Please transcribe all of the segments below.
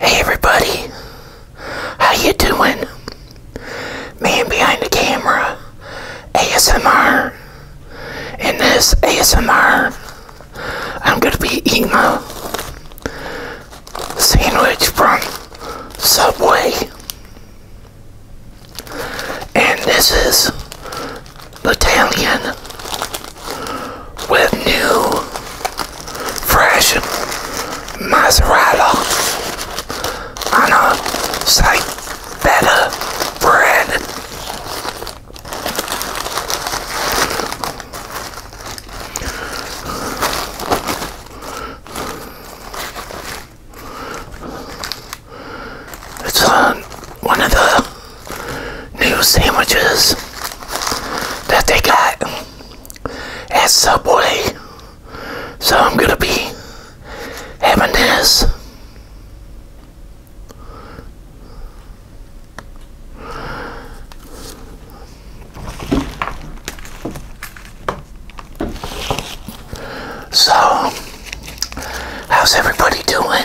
Hey everybody, how you doing? Man behind the camera, ASMR. In this ASMR, I'm gonna be eating a sandwich from Subway, and this is Italian with new, fresh mozzarella on a slight feta bread. It's on uh, one of the new sandwiches that they got at Subway. So I'm going to be having this. So, how's everybody doing?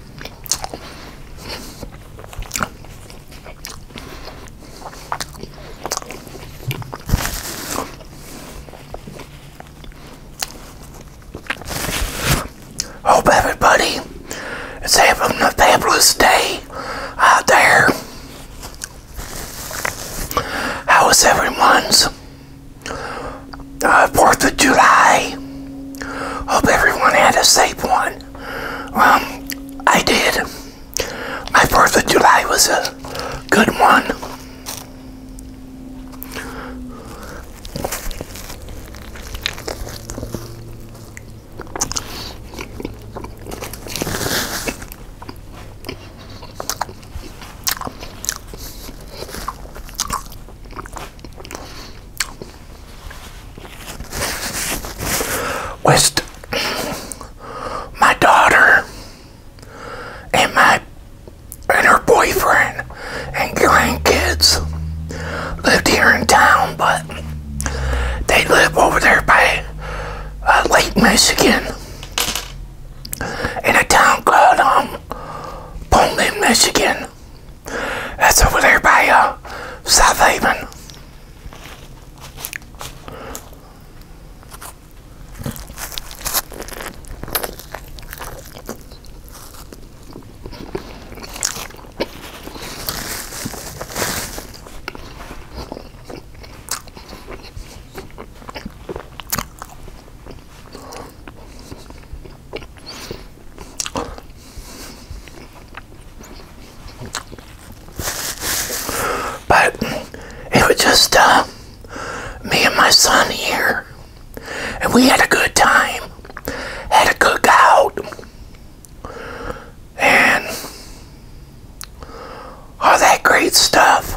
Hope everybody is having a fabulous day out there. How is everyone's? 4th of July. Hope everyone had a safe one. Um, I did. My 4th of July was a good one. West, my daughter and my and her boyfriend and grandkids lived here in town, but they live over there by uh, Lake Michigan in a town called um, Pullman, Michigan. That's over there by uh, South Haven. But it was just uh, me and my son here, and we had a good time, had a cookout, and all that great stuff.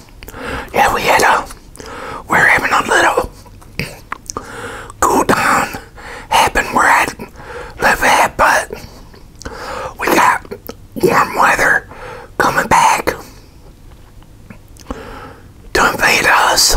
Yeah, we had a, we are having a little cool down happen where I live at, but we got warm weather coming back to invade us.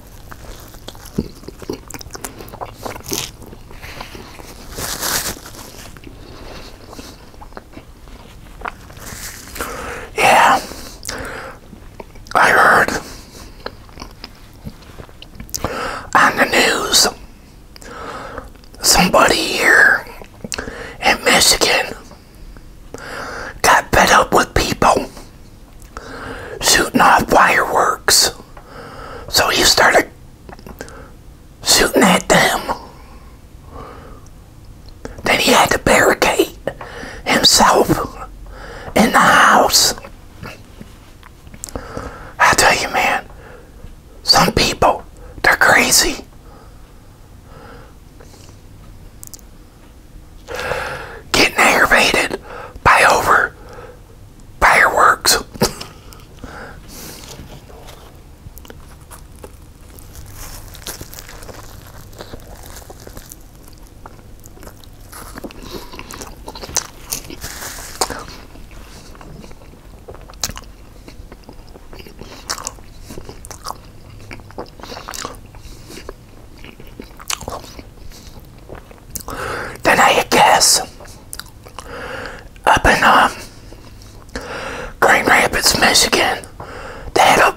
Yeah, I heard on the news somebody here in Michigan got fed up with people shooting off fireworks. So he started shooting at them. Then he had to barricade himself in the house. I tell you, man, some people, they're crazy getting aggravated by over fireworks. Then I guess up in um, Grand Rapids, Michigan, they had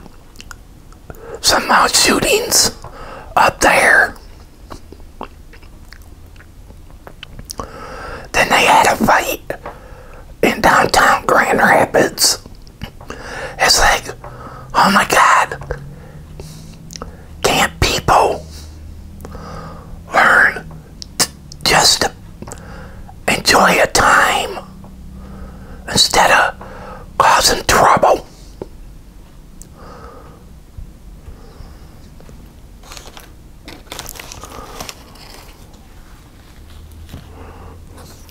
some uh, shootings up there. Then they had a fight in downtown Grand Rapids. It's like, oh my God, can't people learn just to enjoy a time instead of causing trouble?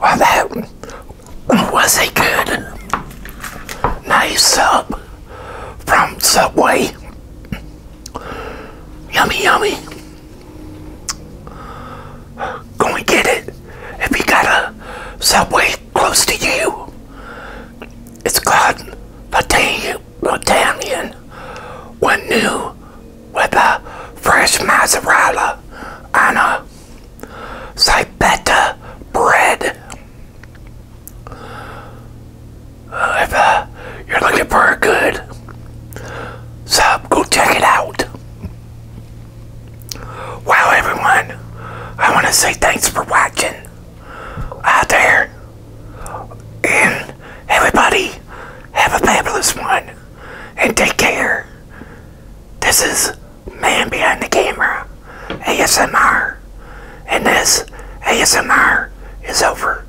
Well, that was a good, nice sub uh, from Subway. Yummy, yummy. Go and get it. If you got a subway close to you, it's called Italian. One new with a fresh mozzarella on a Sibeta bread. Uh, uh you're looking for a good sub, go check it out. Wow, everyone, I want to say thanks for watching out there. And everybody, have a fabulous one. And take care. This is Man Behind the Camera, ASMR. And this ASMR is over.